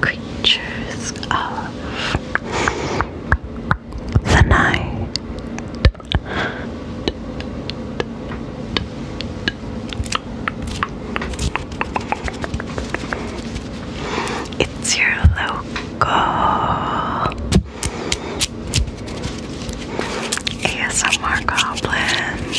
creatures of the night. It's your local ASMR Goblin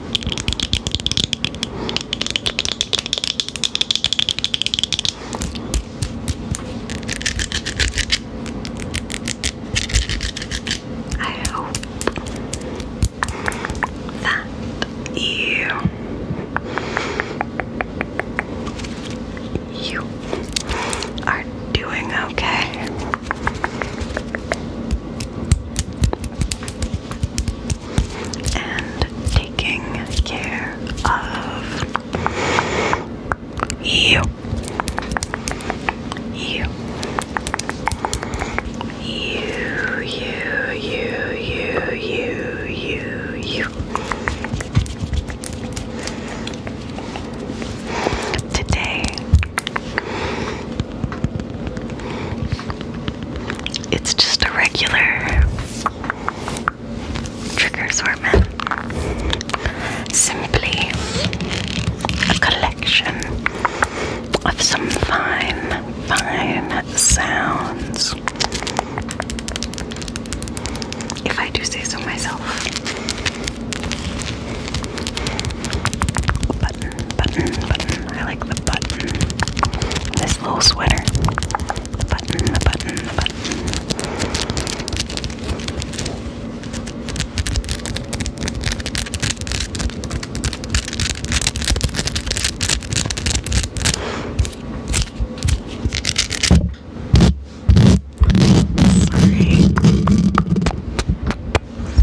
I hope that you you are doing okay and taking care of you. You. You, you, you, you, you, you, Today, it's just a regular trigger assortment. Simply a collection of some fine, fine sounds. If I do say so myself button, button, I like the button. This little sweater. button, the button, the button.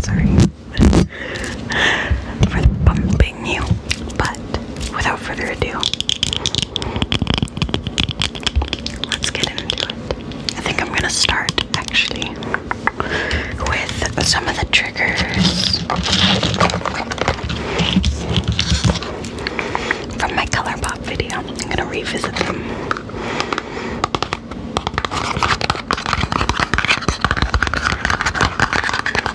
Sorry. Sorry for bumping you. But without further ado, let's get into it. I think I'm gonna start actually with some of the triggers from my color pop video. I'm gonna revisit them.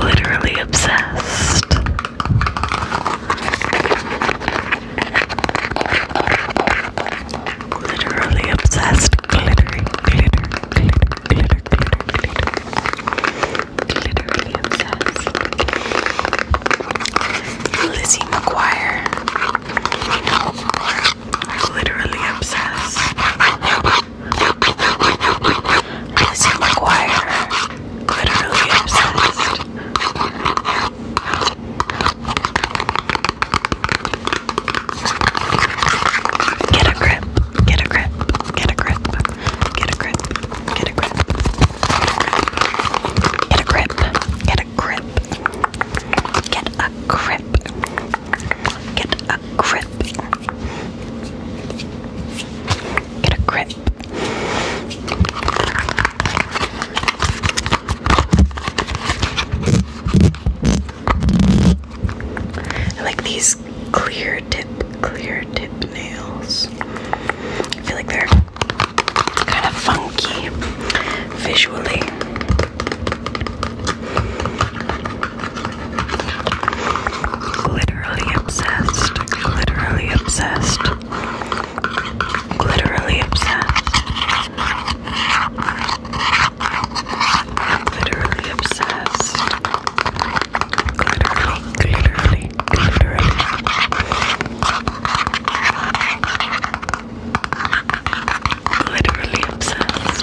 Literally obsessed. Literally obsessed. Glittery, glitter, glitter, glitter, glitter, glitter. Literally obsessed. Lizzie McGuire. Literally obsessed. Lizzie McGuire literally obsessed. Get a grip, get a grip, get a grip, get a grip, get a grip, get a grip, get a grip, get a grip, Get a grip. Get a grip. I like these clear tip, clear tip nails. I feel like they're kind of funky visually. Literally obsessed. Literally obsessed. Literally obsessed. Literally obsessed. Literally, literally, literally literally obsessed.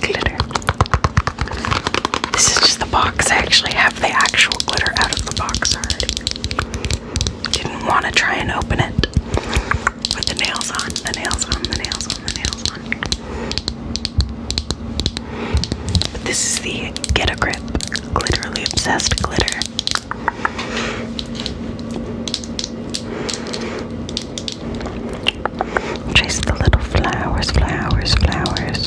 Glitter. This is just the box. I actually have the actual glitter out of the box already. Didn't want to try and open it with the nails on, the nails on, the nails on, the nails this is the Get a Grip Glitterly Obsessed Glitter. Trace the little flowers, flowers, flowers.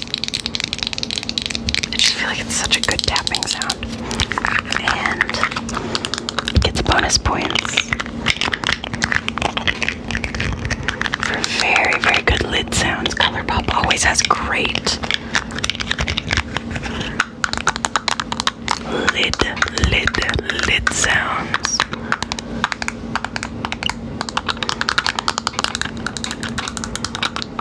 I just feel like it's such a good tapping sound. And it gets bonus points for very, very good lid sounds. Colourpop always has great lid, lid, lid sounds. Get a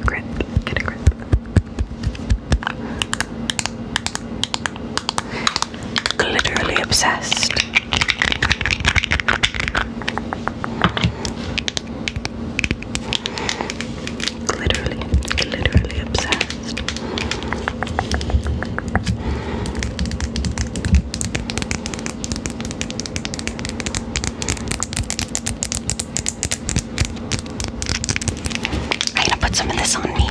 grip, get a grip. Literally obsessed. Literally, literally obsessed. I'm gonna put some of this on me.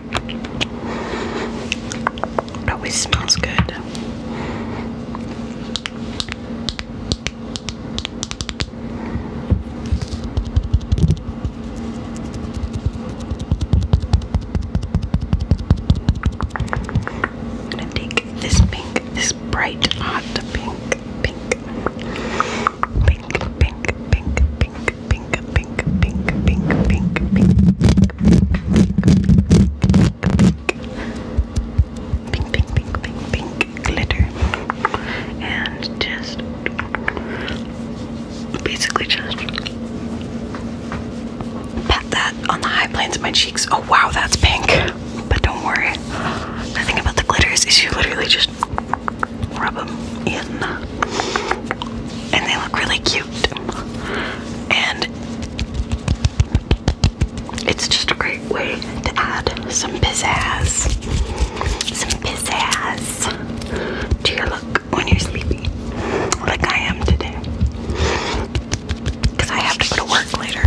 It always smells good. I'm gonna take this pink, this bright hot pink, pink, pink, pink, pink, pink, pink, pink, pink, pink, pink, pink, pink, pink, pink, pink glitter, and just basically just pat that on the high planes of my cheeks. Oh wow, that's pink. But don't worry, the thing about the glitters is you literally just rub them in, and they look really cute. And it's just a great way to add some pizzazz, some pizzazz to your look when you're sleepy, like I am today, because I have to go to work later.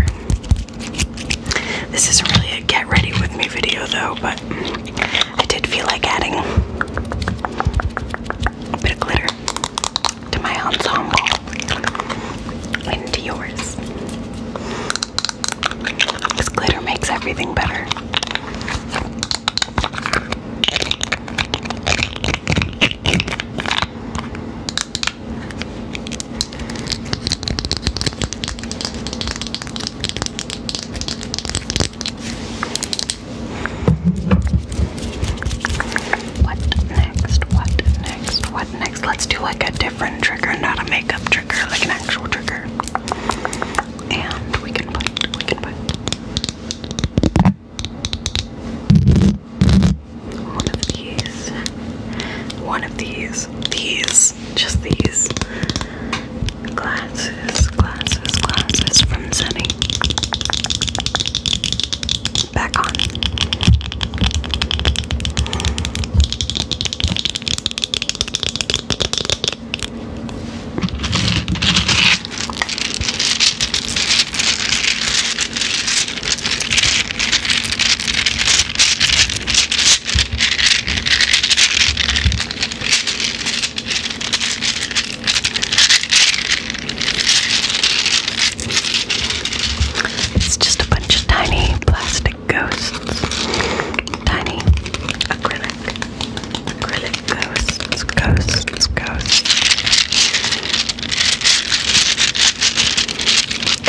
This is really a get ready with me video though, but I did feel like adding a bit of glitter to my ensemble and to yours. This glitter makes everything better. What next? What next? What next? Let's do like a different trigger, not a makeup trigger, like an actual trigger. And we can put, we can put. One of these. One of these. These. Just these. Glasses, glasses, glasses from Sunny. Back on. It's just a bunch of tiny plastic ghosts. Tiny acrylic. Acrylic ghosts. Ghosts. Ghosts.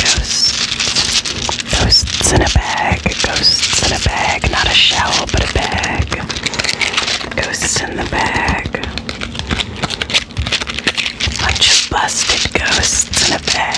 Ghosts. Ghosts in a bag. Ghosts in a bag. Not a shell, but a bag. Ghosts in the bag. Bunch of busted ghosts in a bag.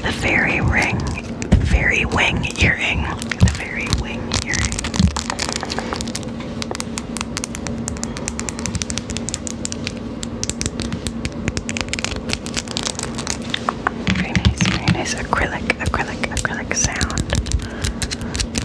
The fairy ring. The fairy wing earring. The fairy wing earring. Very nice, very nice. Acrylic, acrylic, acrylic sound.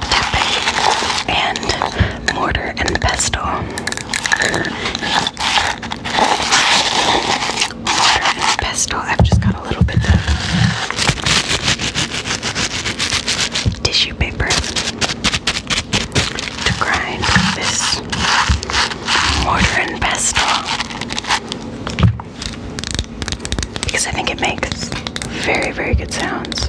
tapping and mortar and pestle. Mortar and pestle. I've just got a little bit of tissue paper to grind this mortar and pestle because I think it makes very, very good sounds.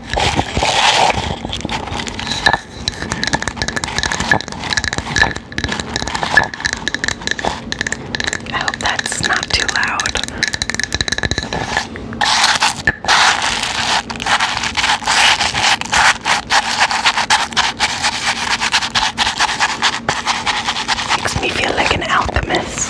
I hope that's not too loud. Makes me feel like an alchemist.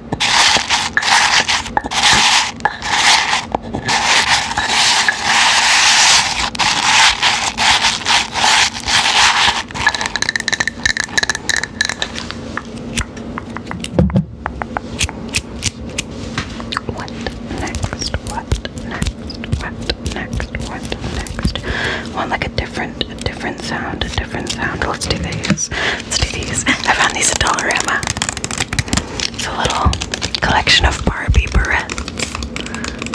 What next? What next? What next? What next? I want like a different, a different sound, a different sound. Let's do these. Let's do these. I found these at Dollarama. It's a little collection of Barbie barrettes.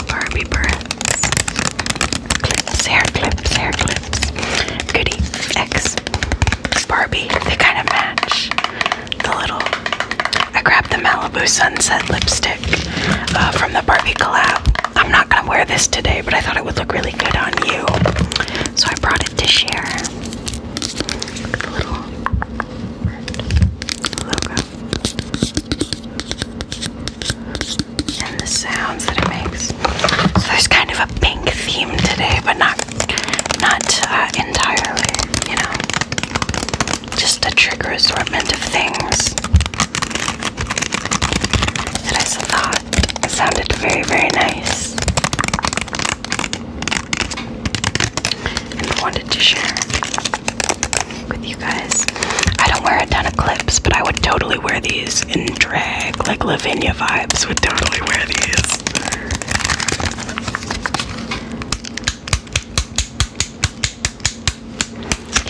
Barbie barrettes. Clips, hair clips, hair clips. Goody X Barbie. They kind of match. The little. I grabbed the Malibu Sunset lipstick uh, from the Barbie collab. I'm not gonna wear this today, but I thought it would look really good on you. So I brought it to share and the sounds that it makes. So there's kind of a pink theme today, but not not uh, entirely, you know. Just a trigger assortment of things that I thought sounded very, very nice. I wanted to share with you guys. I don't wear a ton of clips, but I would totally wear these in drag, like Lavinia vibes would totally wear these.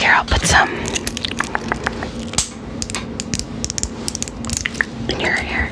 Here, I'll put some in your hair.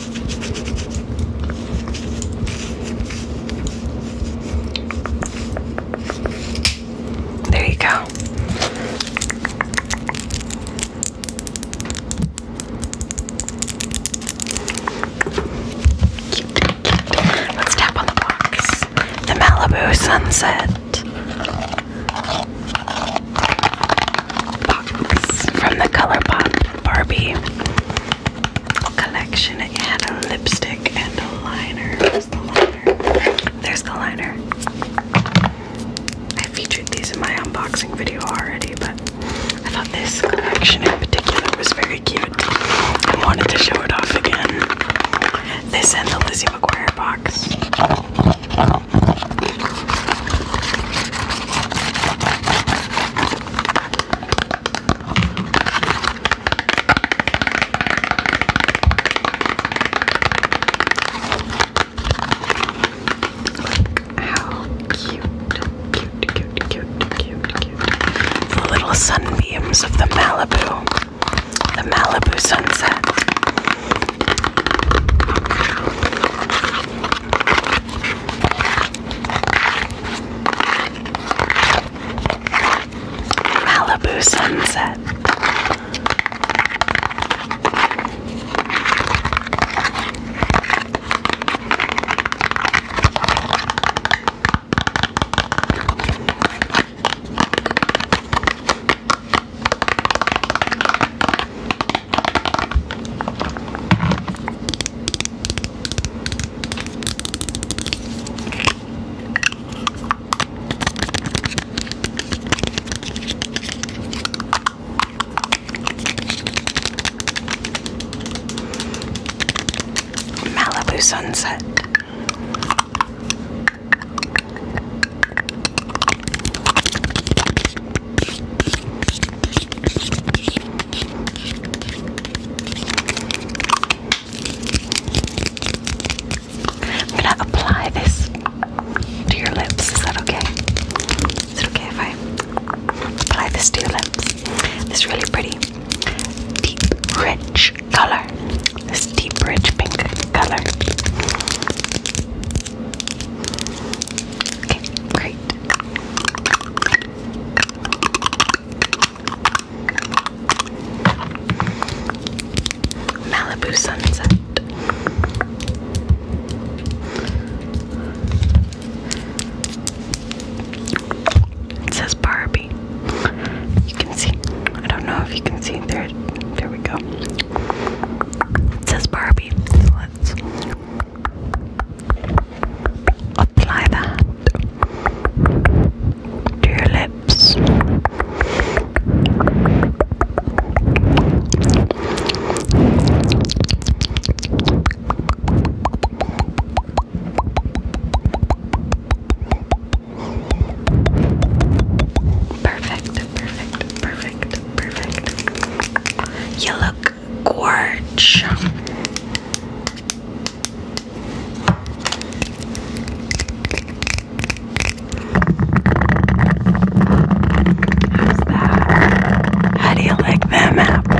There you go. Let's tap on the box. The Malibu Sunset box from the ColourPop Barbie collection. and a lipstick and a liner. Where's the liner? There's the liner. I featured these in my unboxing video already, but I thought this collection in particular was very cute. I wanted to show it off again. This and the Lizzie McGuire box. Look how cute, cute, cute, cute, cute, cute. The little sunbeams of the Malibu, the Malibu sunset. Malibu sunset. Malibu sunset. I'm gonna apply this to your lips. Is that okay? Is it okay if I apply this to your lips? This really pretty, deep, rich color. This deep, rich pink color. Okay, great. Malibu sunset. It says Barbie. You can see. I don't know if you can see there. There we go. It says Barbie. let's Apply that to your lips. Perfect, perfect, perfect, perfect. You look gorge. How's that? How do you like them apples?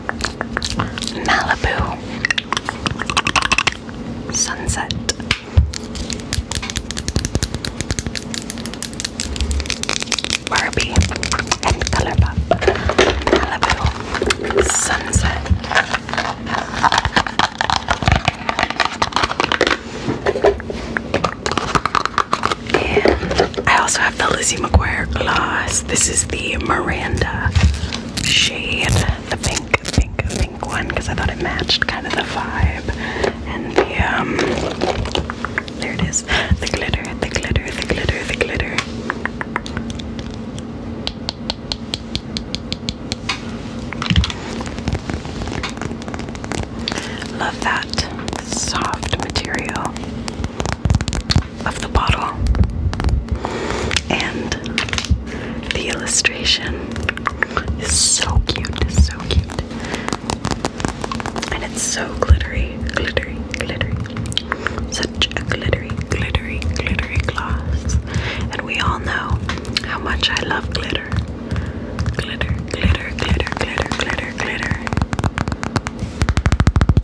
Malibu Sunset. Barbie and Colourpop. Malibu Sunset. And I also have the Lizzie McGuire gloss. This is the Miranda shade, the pink, pink, pink one, because I thought it matched kind of the vibe and the um. There it is, the glitter, the glitter, the glitter, the glitter. Love that soft material of the bottle and the illustration is so cute, so cute. And it's so glittery, glittery, glittery. Such a glittery, glittery, glittery gloss. And we all know how much I love glitter. Glitter, glitter, glitter, glitter, glitter, glitter.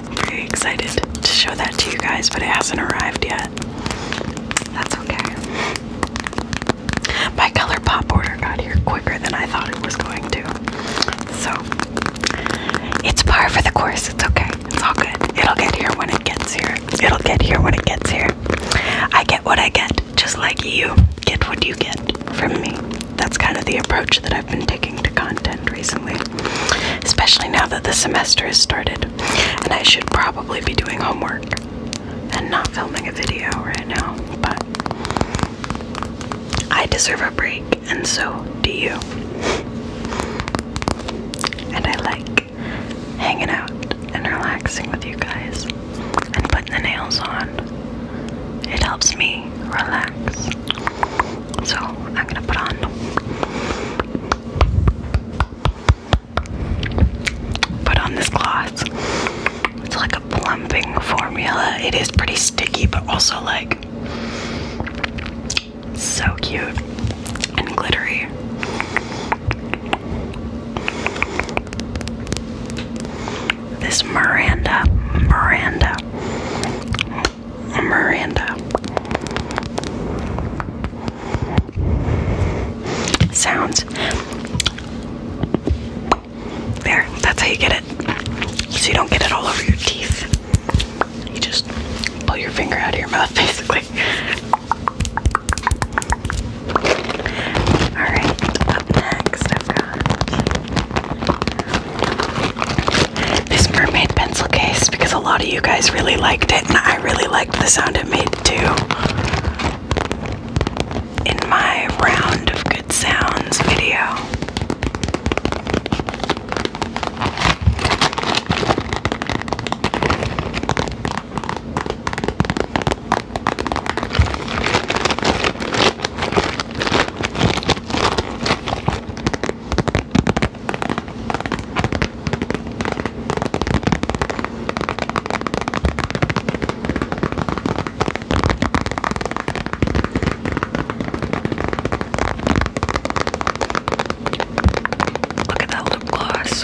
I'm very excited to show that to you guys, but it hasn't arrived yet. That's okay. My color pop order got here quicker than I thought it was going to. So it's par for the course. It's okay. It's all good. It'll get here when it gets here. It'll get here when it gets here. I get what I get, just like you get what you get from me. That's kind of the approach that I been taking to content recently, especially now that the semester has started, and I should probably be doing homework and not filming a video right now, but I deserve a break, and so do you. And I like hanging out and relaxing with you guys and putting the nails on. It helps me relax. So I'm gonna put on put on this gloss. It's like a plumping formula. It is pretty sticky, but also like so cute and glittery. This Miranda, Miranda, Miranda. Sounds. There, that's how you get it. So you don't get it all over your teeth. You just pull your finger out of your mouth, basically. Alright, up next I've got this mermaid pencil case because a lot of you guys really liked it and I really liked the sound it made too. In my round of good sounds video. Look at that lip gloss.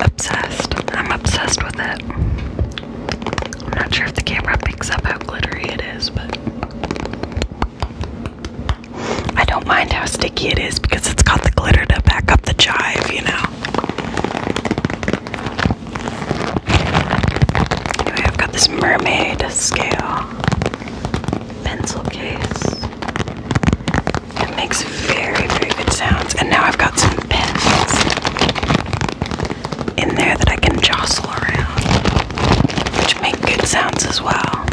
Obsessed. I'm obsessed with it. I'm not sure if the camera picks up how glittery it is, but I don't mind how sticky it is because it's got the glitter to back up the jive, you know. Anyway, I've got this mermaid scale pencil case. It makes very, very good sounds. And now I've got some pens in there that I can jostle around which make good sounds as well.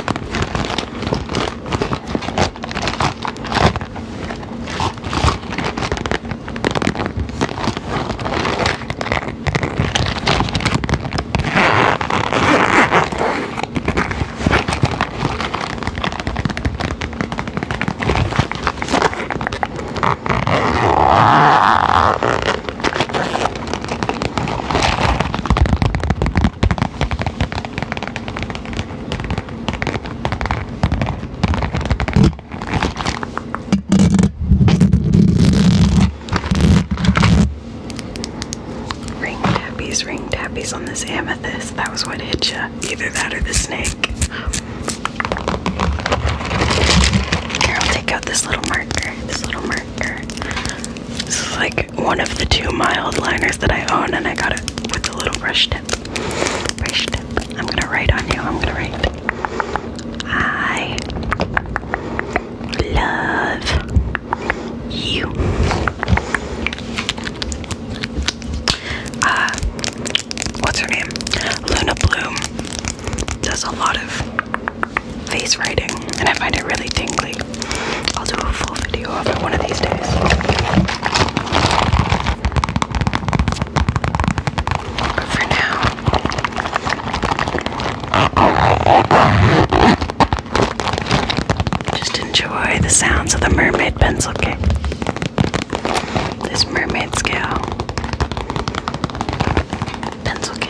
Ring tappies, ring tappies on this amethyst. That was what hit you. Either that or the snake. Here, I'll take out this little marker. This little marker. This is like one of the two mild liners that I own, and I got it with a little brush tip. Brush tip. I'm gonna write on you. I'm gonna write. I love you. Uh, what's her name? Luna Bloom does a lot of face writing, and I find it really tingly. I'll do a full video of it one of these days. for now, just enjoy the sounds of the mermaid pencil kick. This mermaid scale pencil case.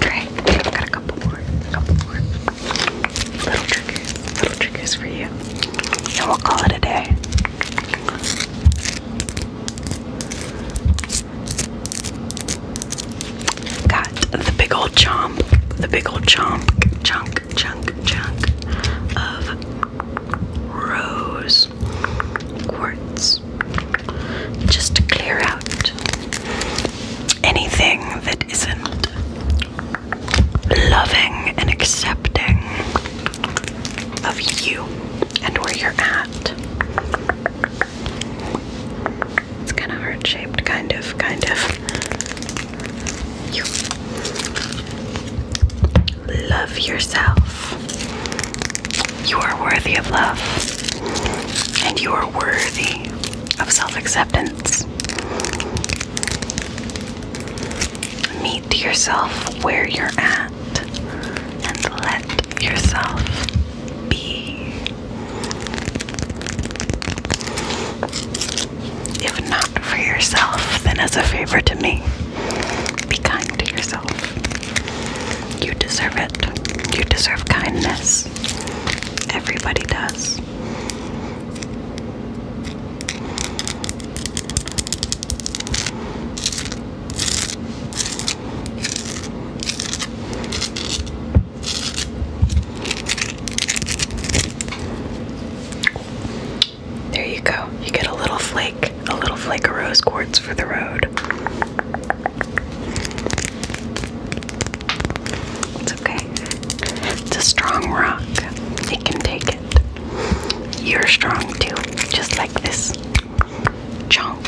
Great. I've got a couple more. A couple more. Little triggers, little triggers for you. And we'll call it a day. Got the big old chomp, the big old chomp, chunk, chunk, chunk of rose quartz just to clear out anything that isn't loving and accepting of you and where you're at. It's kind of heart shaped, kind of, kind of. You love yourself. You are worthy of love, and you are worthy of self acceptance sense. Meet yourself where you're at and let yourself be. If not for yourself, then as a favor to me, be kind to yourself. You deserve it. You deserve kindness. Everybody does. There you go. You get a little flake, a little flake of rose quartz for the road. It's okay. It's a strong rock. It can take it. You're strong too, just like this chunk.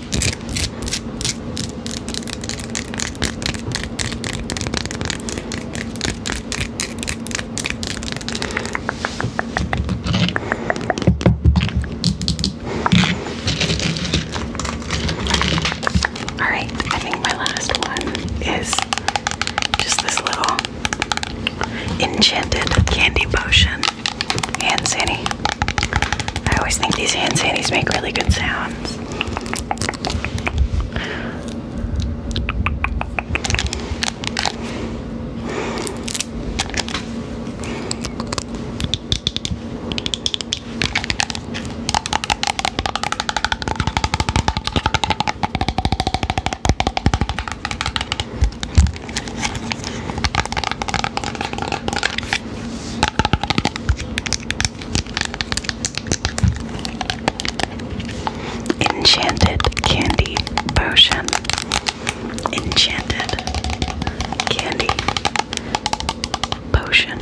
All right, I think my last one is just this little enchanted candy potion and sandy I always think these hand sandies make really good sounds. Enchanted candy potion. Enchanted candy potion.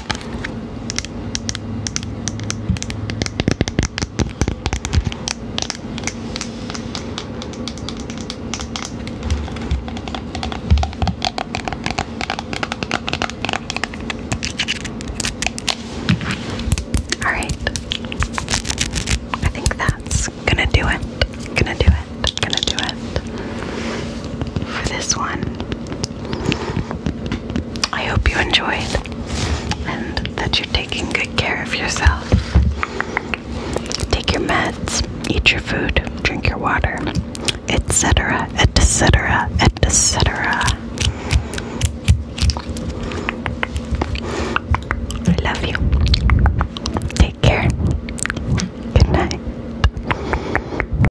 All right. I think that's gonna do it. Gonna do it. Gonna do it. For this one. I hope you enjoyed and that you're taking good care of yourself. Take your meds, eat your food, drink your water, etc., etc., etc. I love you. Take care. Good night.